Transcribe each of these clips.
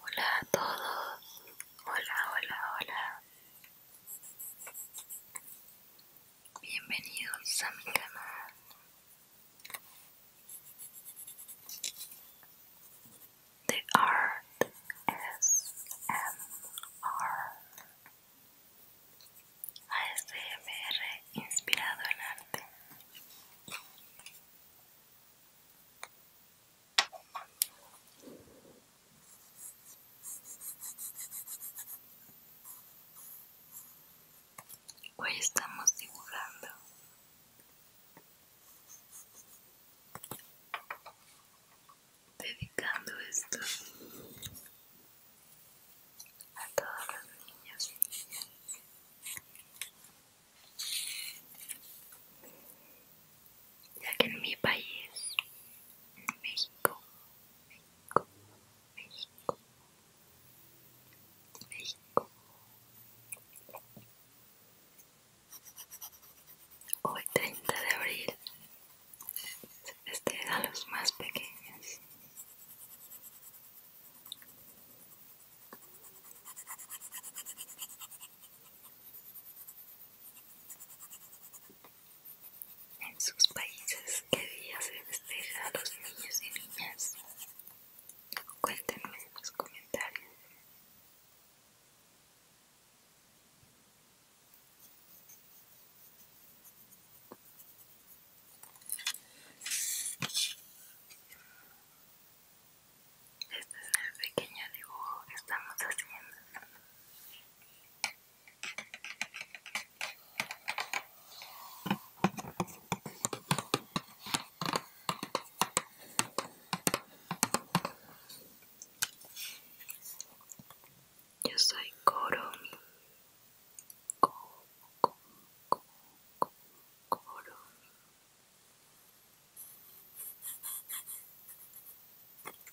Hola a todos, hola, hola, hola. Bienvenidos a mi canal. The Art S a ASMR este inspirado en arte. Hoy estamos dibujando. Dedicando esto a todos los niños ya que en mi país México México México México hoy 30 de abril este a los más pequeños en sus países qué día se festeja a los niños y niñas cuéntenme en los comentarios este es el pequeño dibujo que estamos haciendo. Yo soy Koromi.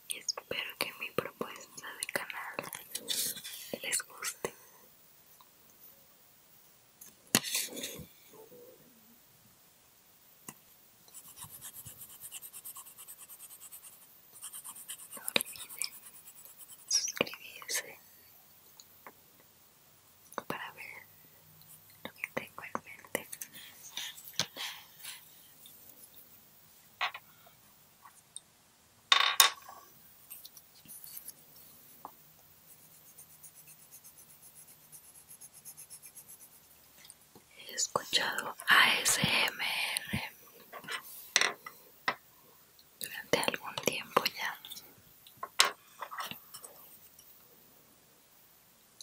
Y Espero que mi propuesta de canal les guste. No olviden suscribirse para ver lo que tengo en mente. He escuchado ASMR durante algún tiempo ya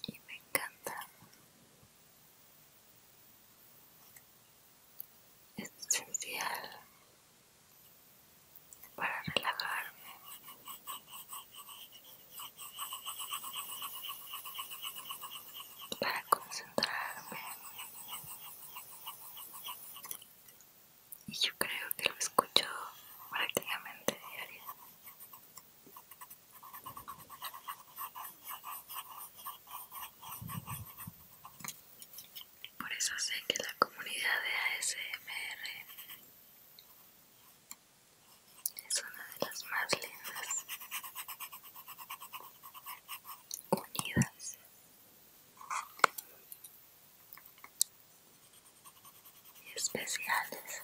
y me encanta es esencial para relajarme para concentrarme y yo creo que lo escucho prácticamente diario. Por eso sé que la comunidad de ASMR es una de las más lindas unidas y especiales.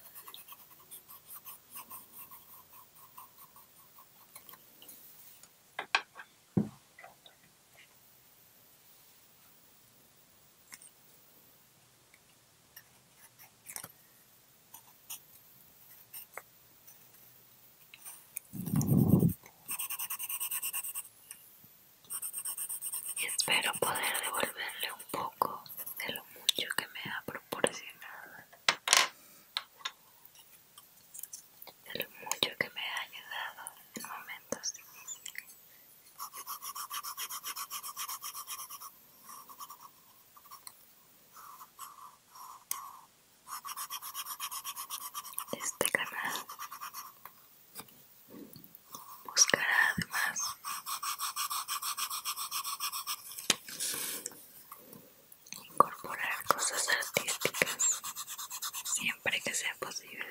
Y espero poder devolverle un poco de lo mucho que me ha proporcionado, de lo mucho que me ha ayudado en este momentos difíciles. Este canal buscará además incorporar cosas artísticas siempre que sea posible.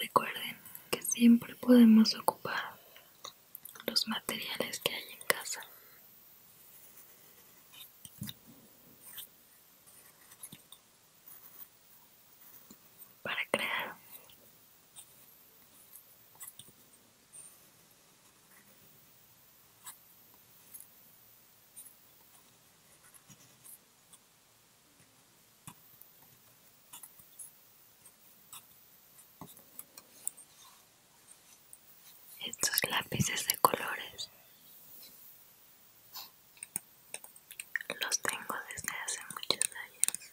Recuerden que siempre podemos ocupar los materiales que hay en casa. Para crear. Estos lápices de colores los tengo desde hace muchos años.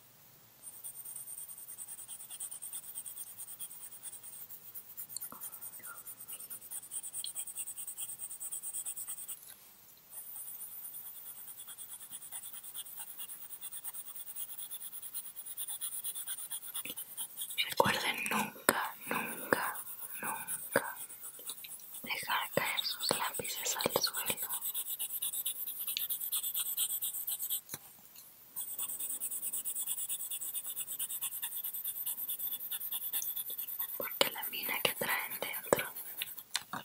Recuerden nunca, nunca, nunca dejar caer sus lápices al suelo porque la mina que traen dentro aquí dentro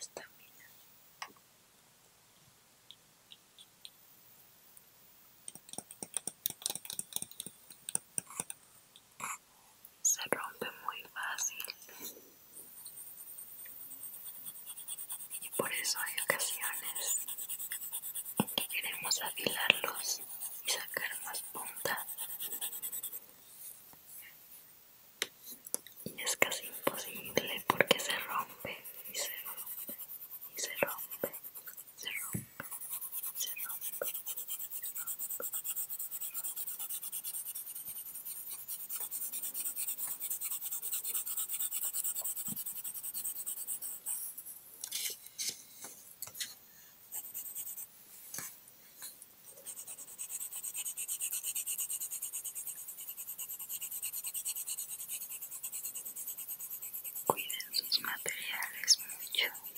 esta mina se rompe muy fácil. Y por eso hay ocasiones que queremos afilarlos y sacar más punta. Y es casi imposible porque se rompe y se rompe y se rompe se rompe, Cuiden sus materiales mucho.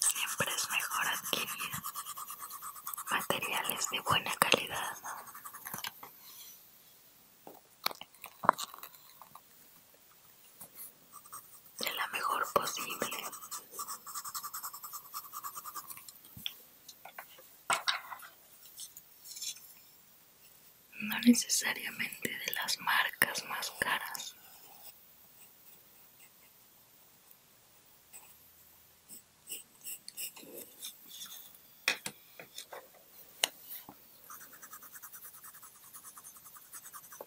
Siempre es mejor adquirir materiales de buena calidad. De la mejor posible no necesariamente de las marcas más caras.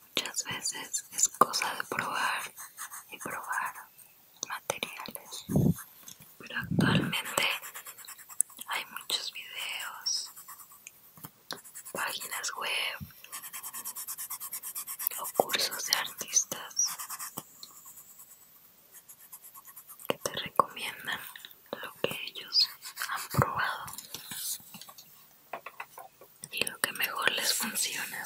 Muchas veces es cosa de probar y probar materiales pero actualmente hay muchos videos páginas web o cursos de artistas que te recomiendan lo que ellos han probado y lo que mejor les funciona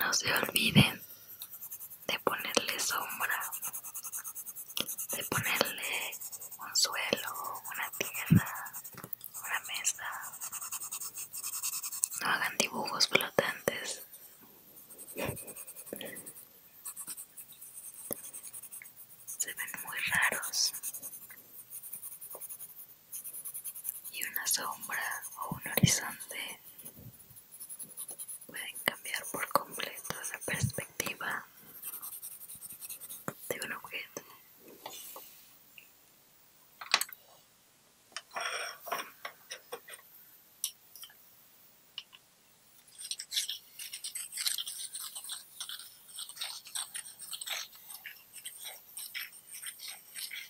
No se olviden de ponerle sombra, de ponerle un suelo, una tierra, una mesa. No hagan dibujos flotantes. Se ven muy raros. Y una sombra o un horizonte pueden cambiar por completo la perspectiva de un objeto.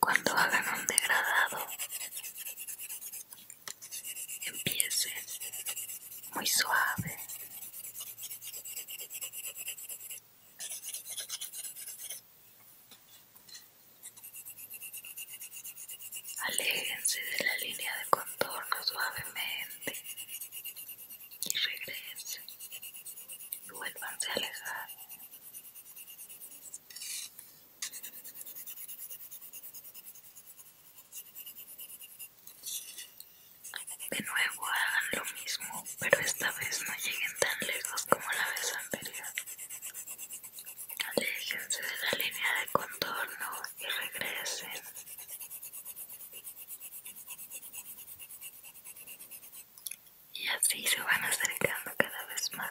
Cuando hagan un degradado, empiece muy suave. Aléjense de la línea de contorno suavemente y regresen y vuélvanse a alejar. De nuevo hagan lo mismo, pero esta vez no lleguen tan lejos como la vez anterior. Aléjense de la línea de contorno y regresen y así se van acercando cada vez más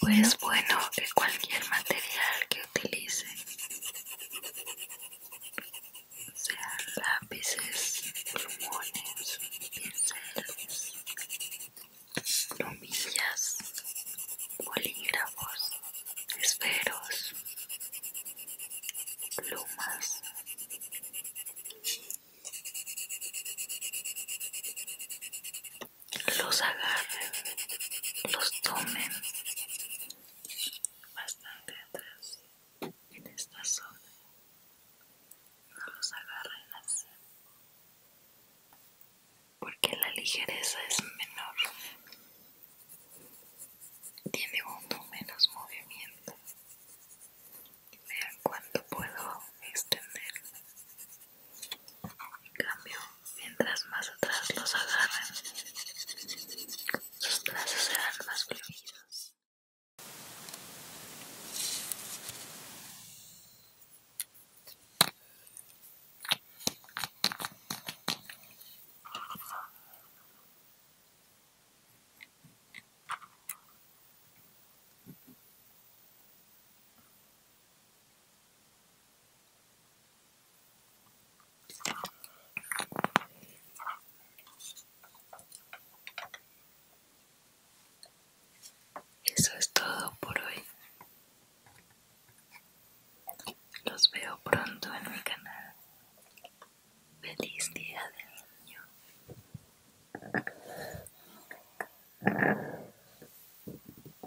pues bueno que cualquier material que utilice sean lápices, plumones, pinceles, plumillas, bolígrafos, esferos, plumas. Los agarren, los tomen bastante atrás en esta zona no los agarren así porque la ligereza es menor tiene poco menos movimiento vean cuánto puedo extender en cambio mientras más atrás los agarran sus brazos eran más fluidos. Eso es todo por hoy. Los veo pronto en mi canal. Feliz día del niño.